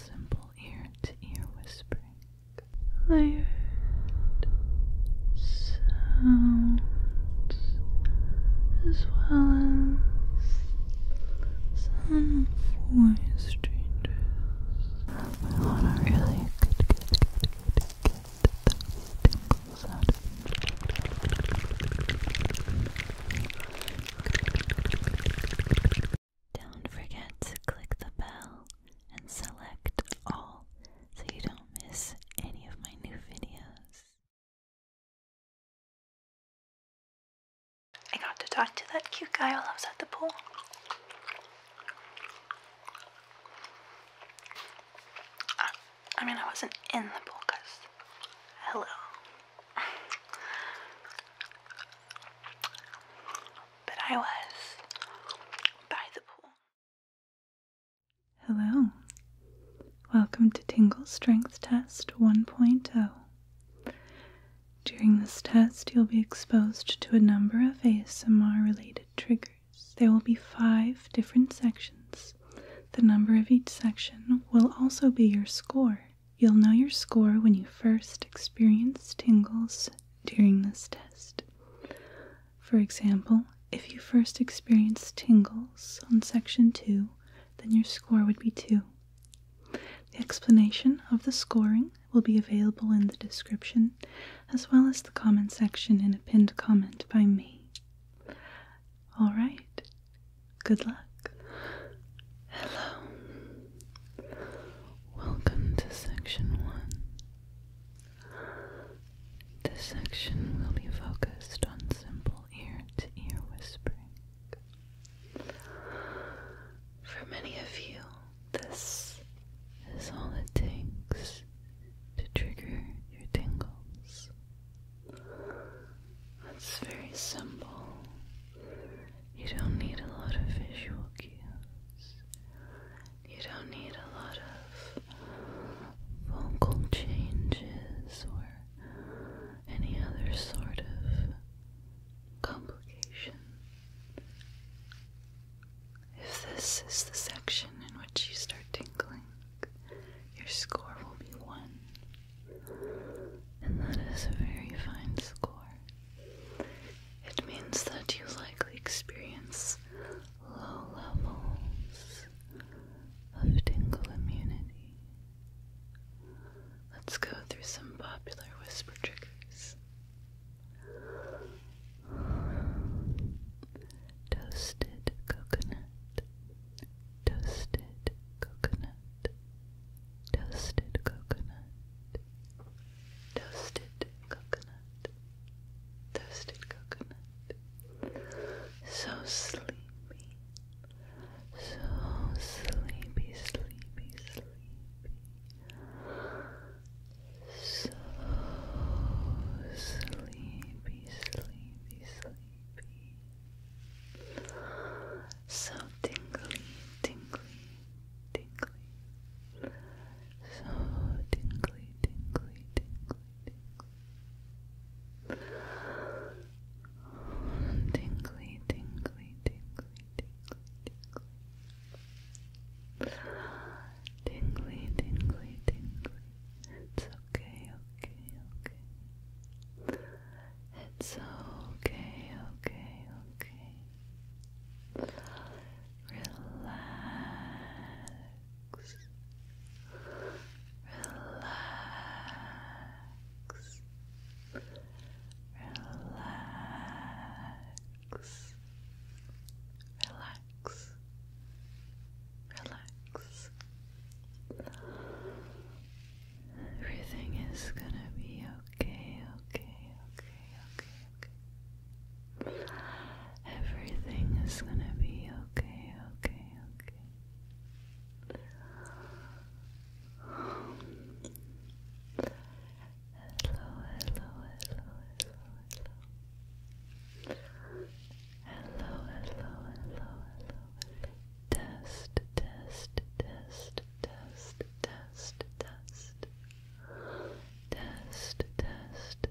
simple ear to ear whispering. I sounds as well as some voice strangers. My Lana really could get, get, get, get those tingles out of me. Don't forget to click the bell and select all so you don't miss any of my new videos. I got to talk to that cute guy while I was at the pool. Uh, I mean, I wasn't in the pool because. Hello. But I was by the pool. Hello. Welcome to Tingle Strength Test 1.0. During this test, you'll be exposed to a number of ASMR related triggers. There will be five different sections. The number of each section will also be your score. You'll know your score when you first experience tingles during this test. For example, if you first experience tingles on section 2, then your score would be 2. The explanation of the scoring will be available in the description as well as the comment section in a pinned comment by me. Alright, good luck. Hello. Welcome to section one. This section will be focused on simple ear to ear whispering. For many of you, this is all it takes to trigger your tingles. That's very simple you don't need a lot of visual cues. You don't need a lot of vocal changes or any other sort of complication. If this is the section in which you start tingling, your score will be one. And that is a very fine score. It means that you likely experience low levels of tingle immunity. Let's go through some popular whisper triggers. Toasted coconut, toasted coconut, toasted coconut, toasted coconut, toasted coconut. So sleepy, so sleepy, sleepy, sleepy. So sleepy, sleepy, sleepy. So tingly, tingly, tingly. So tingly, tingly, tingly, tingly. Tingly, tingly, tingly, tingly, tingly. Tingly, tingly, tingly. It's okay, okay, okay. It's okay, okay, okay. Relax. Relax. Relax. Relax. Relax. Everything is going to be okay, okay, okay, okay, okay. Everything is gonna be okay, okay, okay. Hello, hello, hello, hello, hello. Hello, hello, hello, hello. Test, test, test, test, test test, test, test, test, test,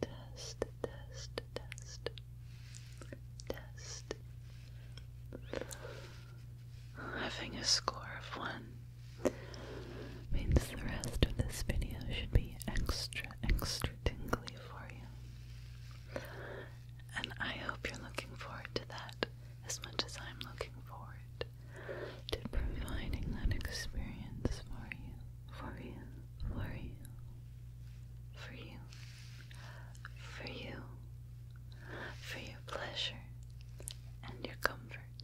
test, test, test, test. Having a score of one means the rest of this video should be extra, extra tingly for you. And I hope you're looking forward to that as much as I'm looking forward to providing that experience for you, for you, for you, for you, for you, for your pleasure and your comfort.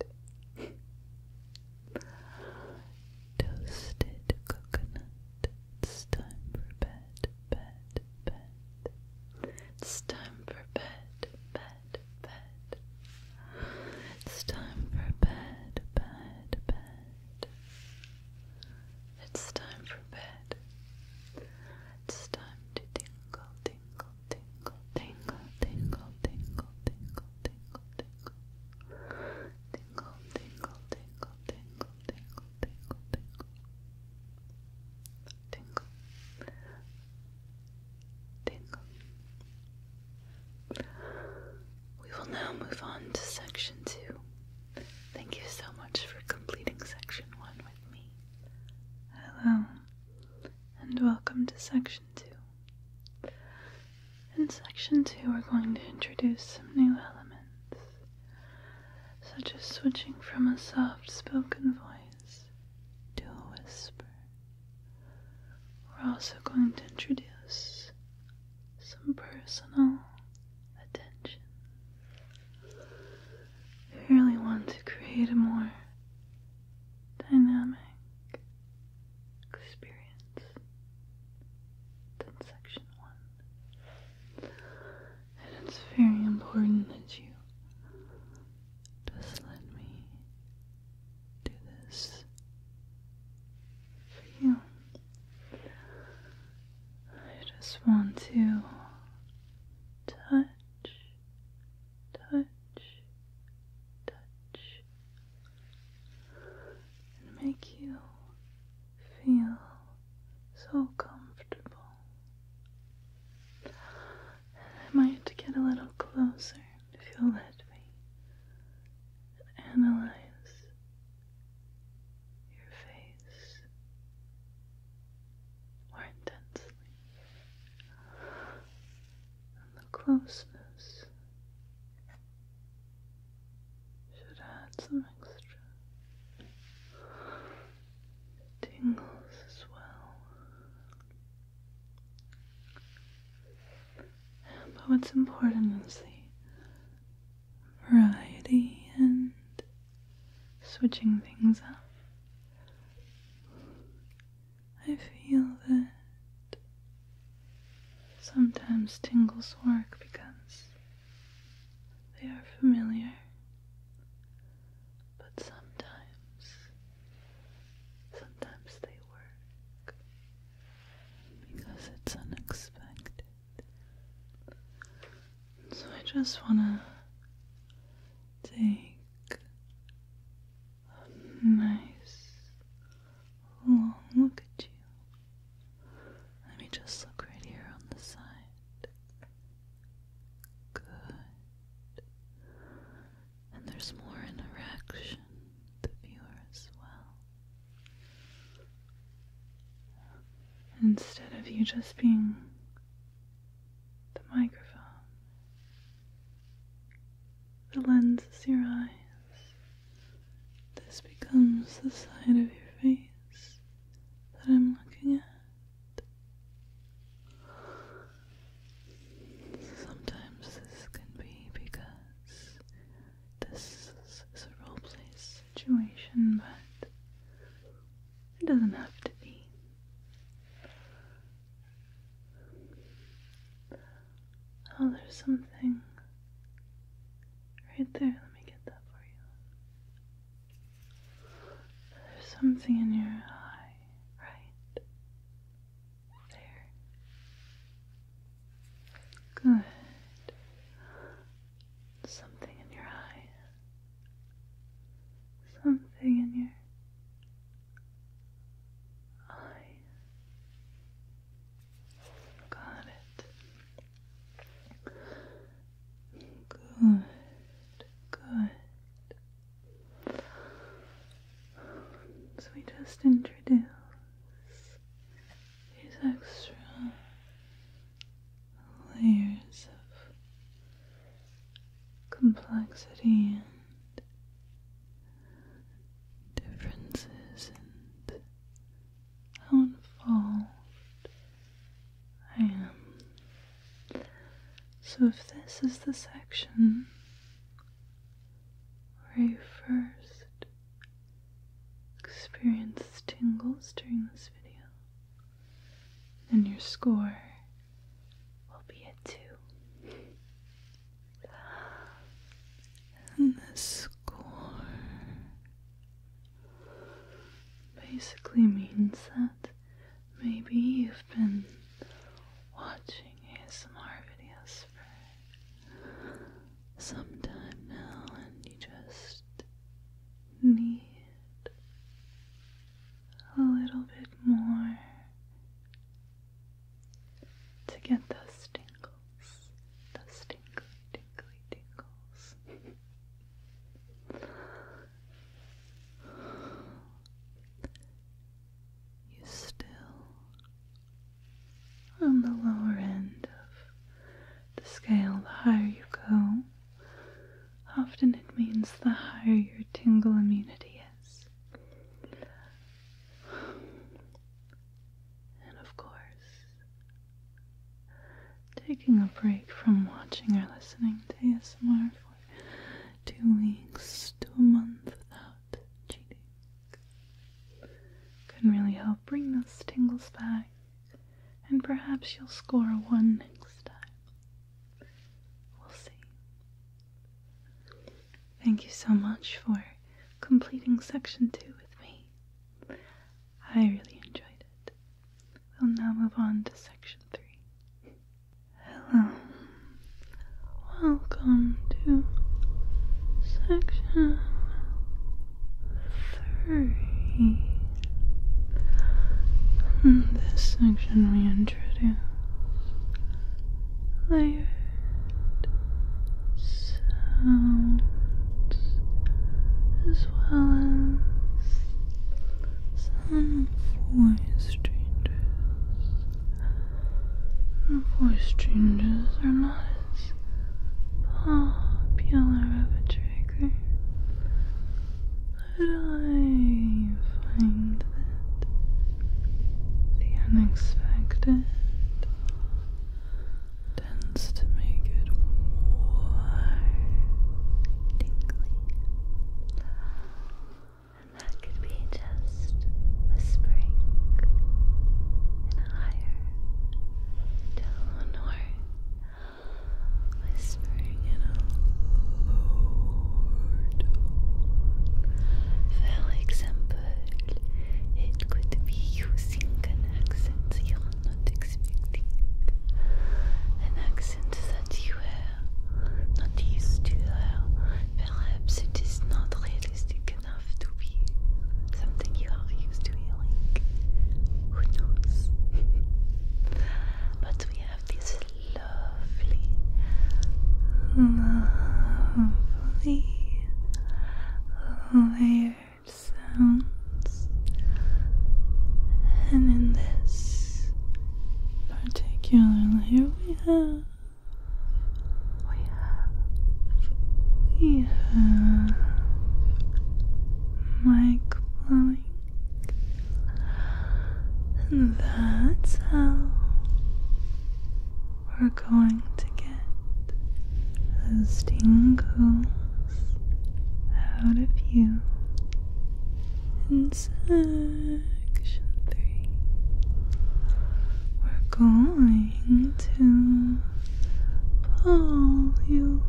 Toasted coconut, it's time for bed, bed, bed. It's time for bed, bed, bed, bed. It's time for bed, bed, bed. It's time for bed. It's time to tingle, tingle, tingle, tingle, tingle, tingle, tingle, tingle, tingle. Tingle, tingle, tingle, tingle, tingle, tingle, tingle tingle, tingle. We will now move on to section two. Thank you so much for completing section one with me. Hello, and welcome to section two. In section two, we're going to introduce some new elements, such as switching from a soft spoken voice to a whisper. We're also going to introduce some personal attention. I really want to create a more dynamic experience than section one. And it's very important that you just let me do this for you. I just want to touch, touch, touch, and make you feel so comfortable. I might get a little closer if you'll let me and analyze your face more intensely. And the closeness should add some extra tingles as well. But what's important is the variety and switching things up. I feel that sometimes tingles work because they are familiar but sometimes, sometimes they work because it's unexpected. So I just want to take a nice long look at you. Let me just look right here on the side. Good and there's more interaction the viewer as well. Instead of you just being the microphone, the lens is your eyes. This becomes the side of your face that I'm looking at. Sometimes this can be because this is a roleplay situation, but it doesn't have to be. Oh, there's something right there. Let me get that for you. There's something in your eye right there. Good. Something in your eyes. Something in your eyes. Got it. Good, good. So we just introduce these extra layers of complexity and differences and how involved I am so, if this is the section where you first experience tingles during this video, then your score will be a 2. And this score basically means that Maybe you've been watching ASMR videos for some time now and you just need a little bit more to get those tingles, those tingly, tingly tingles you still on the lower end of the scale. The higher you go, often it means the higher your tingle immunity is. And of course, taking a break from watching or listening to ASMR two weeks to a month without cheating. Can really help bring those tingles back, and perhaps you'll score one next time. We'll see. Thank you so much for completing section two with me. I really enjoyed it. We'll now move on to section three. Hello. Welcome to section three. In this section, we introduce layered sounds as well as some voice changes. The voice changes are not as popular of a trigger. But I find that the unexpected tends to make it more tingly that could be just whispering in a higher tone whispering in a lower tone. example, it could be using an accent you're not expecting. An accent that you have not used to her. Uh, perhaps it is not realistic enough to be something you are used to hearing. Who knows? but we have this lovely, lovely layered sounds, and in this particular layer, we have, we have mic blowing, and that's how we're going to get those tingles out of you section three, we're going to pull you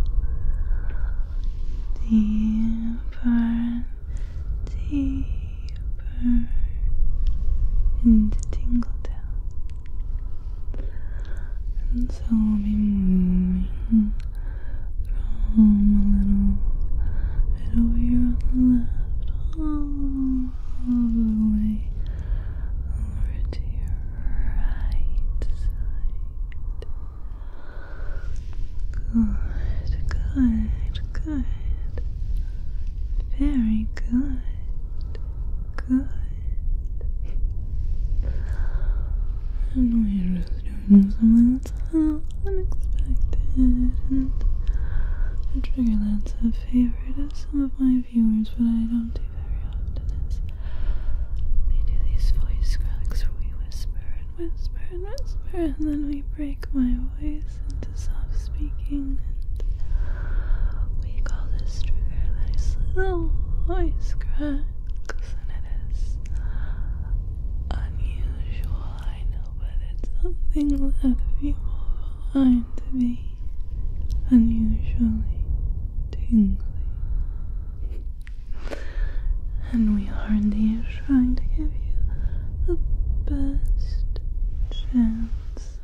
deeper, deeper into tingle down, and so we'll be moving from a little bit over here on the left, all the way over to your right side. Good, good, good. Very good. Good that's all unexpected and a trigger that's a favorite of some of my viewers but I don't do very often is they do these voice cracks where we whisper and whisper and whisper and then we break my voice into soft speaking and we call this trigger this little voice cracks and it is unusual final, but it's something that people to be unusually tingly. And we are indeed trying to give you the best chance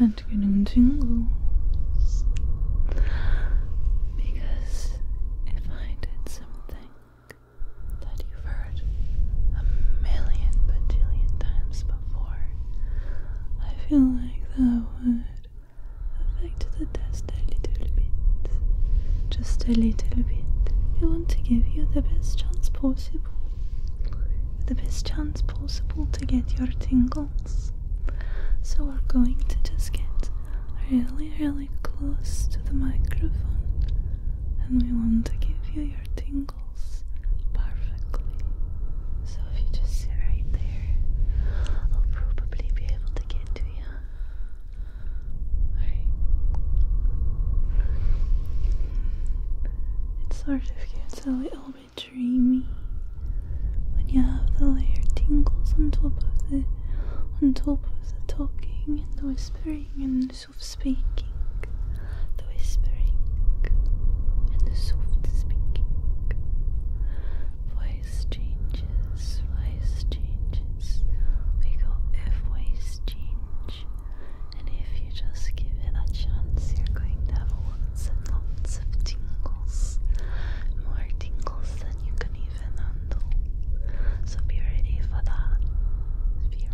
at getting tingles. Because if I did something that you've heard a million bajillion times before. I feel like that would affect the test a little bit. Just a little bit. I want to give you the best chance possible. The best chance possible to get your tingles. So we're going to just get really, really close to the microphone and we want to give you your tingles perfectly. So if you just sit right there, I'll probably be able to get to you. Alright. It sort of gets a little bit dreamy when you have the layer tingles on top of the on top of the talking and the whispering and soft speaking, the whispering, and the soft speaking. Voice changes, voice changes. We got if voice change, and if you just give it a chance, you're going to have lots and lots of tingles, more tingles than you can even handle. So be ready for that.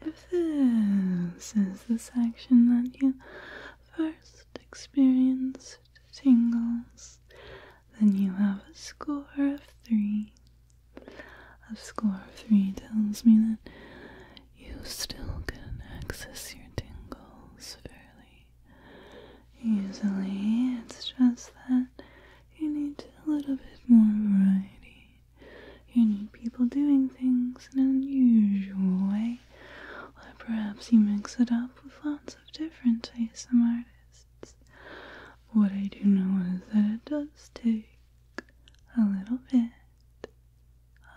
If this is the section that you first experienced tingles, then you have a score of three. A score of three tells me that you still can access your tingles fairly easily. It's just that you need a little bit more variety. You need people doing things in an unusual way, or perhaps you mix it up with lots of different ASM artists. What I do know is that it does take a little bit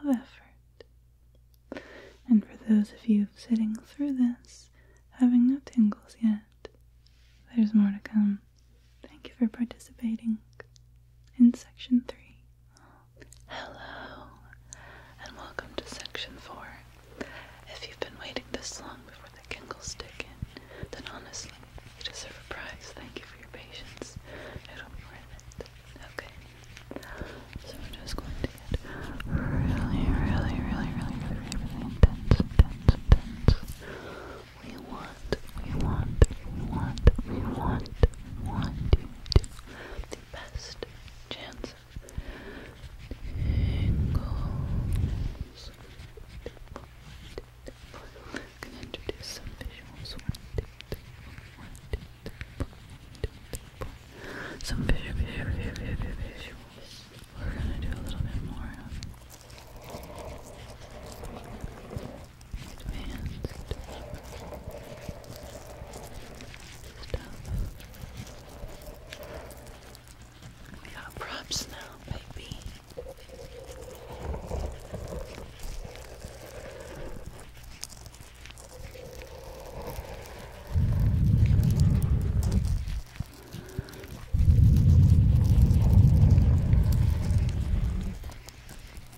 of effort. And for those of you sitting through this, having no tingles yet, there's more to come. Thank you for participating in section 3. Hello, and welcome to section 4. If you've been waiting this long before the giggles stick then honestly, you deserve a prize. Thank you for your patience. It'll be worth it. Okay. So we're just going to get really, really, really, really, really, really intense, intense, intense. We want we want, we want, we want, we want you to have the best chance of tingles. I'm gonna introduce some visuals. One, two, three, one, two, three, one, two, three, some visual, visual, visual, visual, visuals. We're gonna do a little bit more of we got props now, baby.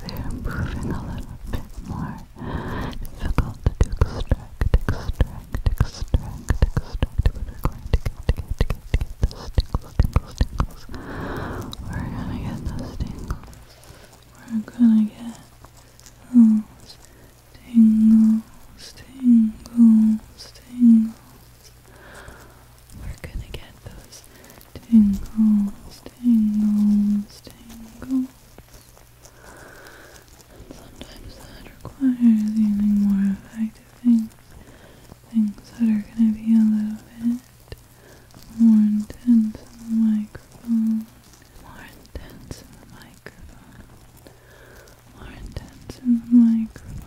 they're improving a little bit more difficult to extract, extract, extract, extract, but we're going to get, get, get, get those tingles, tingles, tingles. We're gonna get those tingles. We're gonna get those tingles, tingles, tingles. We're gonna get those tingles, tingles, tingles. And sometimes that requires even more effective things. Things that are gonna be a little bit more intense in the microphone. More intense in the microphone. More intense in the microphone.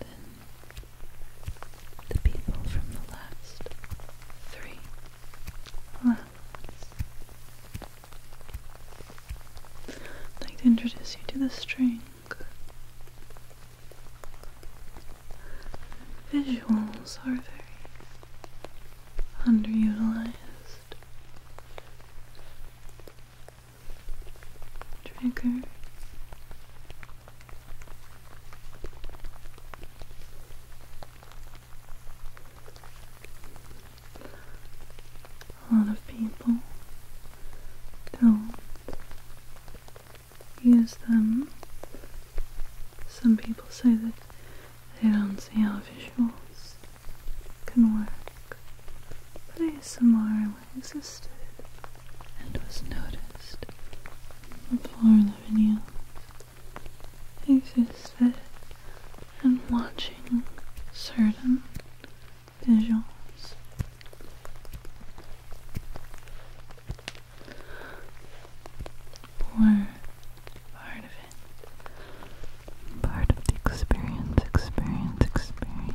then the people from the last three levels. I'd like to introduce you to the string. Visuals are very underutilized. Trigger a lot of people don't use them. Some people say that they don't see how visuals can work, but ASMR existed and was noticed before Lavinia existed and watching certain visuals. Were part of it. Part of the experience, experience, experience.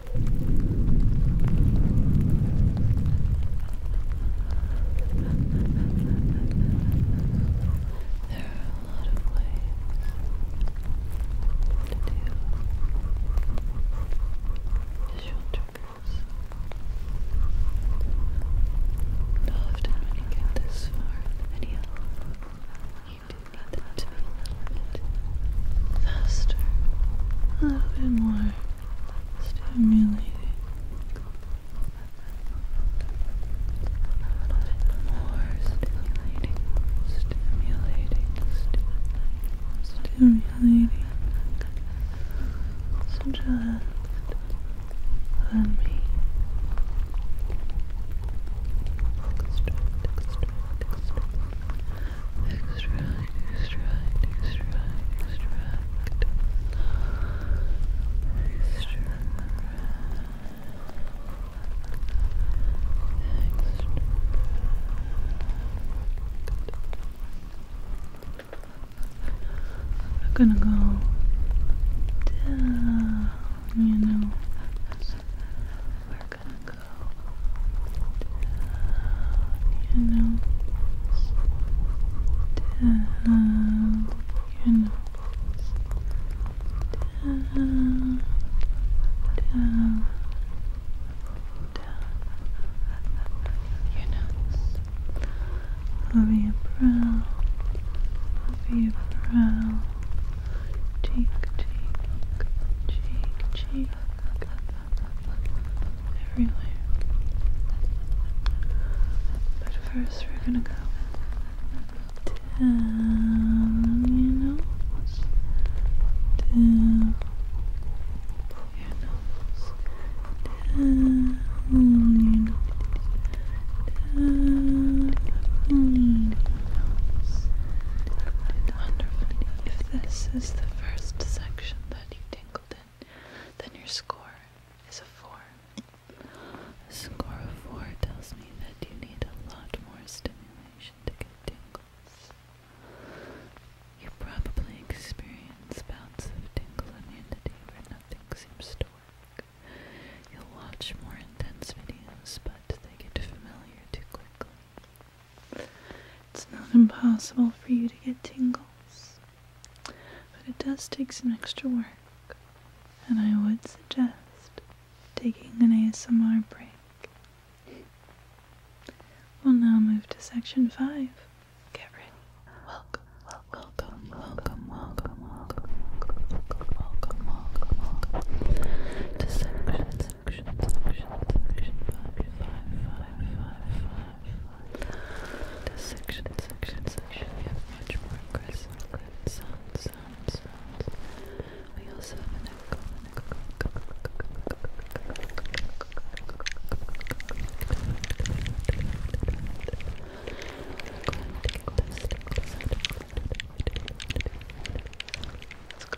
There are a lot of ways to do visual triggers. Often when you get this far in the you do need them to be a little bit faster, a little bit more stimulating more stimulating stimulating stimulating just let me extract, extract, I'm gonna go down, you know. gonna go your nose, down your nose, down, down, down your nose, over your brow, over your brow, cheek, cheek, cheek, cheek everywhere. But first, we're gonna go down, you know, down your nose, down, your nose, down, your nose. Wonderful. If this is the first section, Betty Dingleton, then your score is a 4. A score of 4 tells me that you need a lot more stimulation to get tingles. You probably experience bouts of and immunity where nothing seems to work. You'll watch more intense videos, but they get familiar too quickly. It's not impossible for you to get tingles, but it does take some extra work, and I would suggest taking an ASMR break. We'll now move to section 5. Get ready. Welcome, welcome, welcome, welcome, welcome, welcome, welcome, welcome, welcome, welcome to section section, section, section, five, five, five, five, five. The section, section, section. We have much more aggressive clip sounds, sounds, sounds. We also have an echo, an echo, echo, Let's go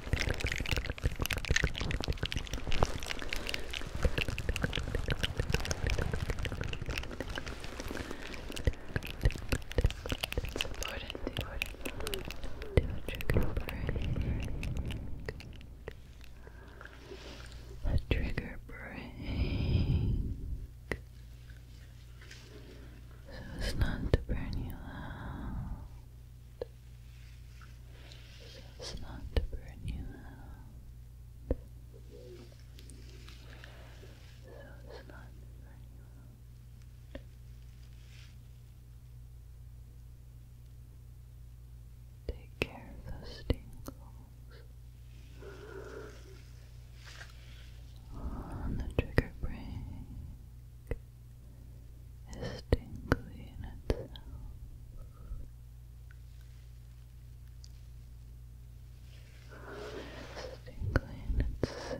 It's important, important to trigger break. A trigger break. So as not to burn you out so as not to burn you out. So as not to burn you out. Take care of those tingles on the trigger break is tingly in itself. It's tingly in itself.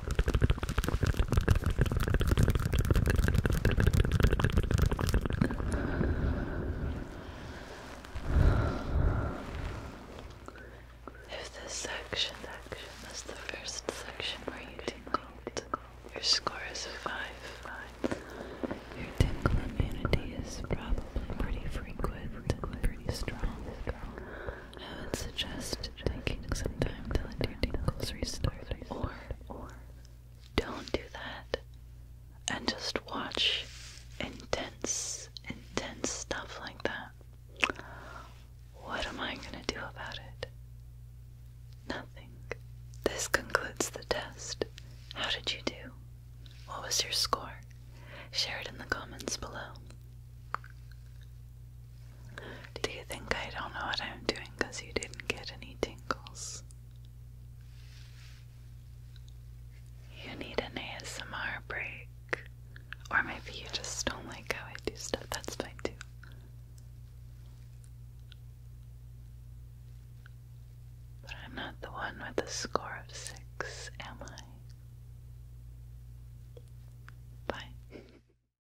There's this section, section. the first section where you tingle. Your score is a five. five. Your tingle immunity is probably pretty frequent and pretty strong. I would suggest taking some don't do that and just watch intense, intense stuff like that. What am I gonna do about it? Nothing. This concludes the test. How did you do? What was your score? Share it in the comments below. Do you think I don't know what I'm doing because you didn't get any tingles? You need an ASMR break. Or maybe you just don't like how I do stuff. That's fine too. But I'm not the one with a score of six, am I? Bye.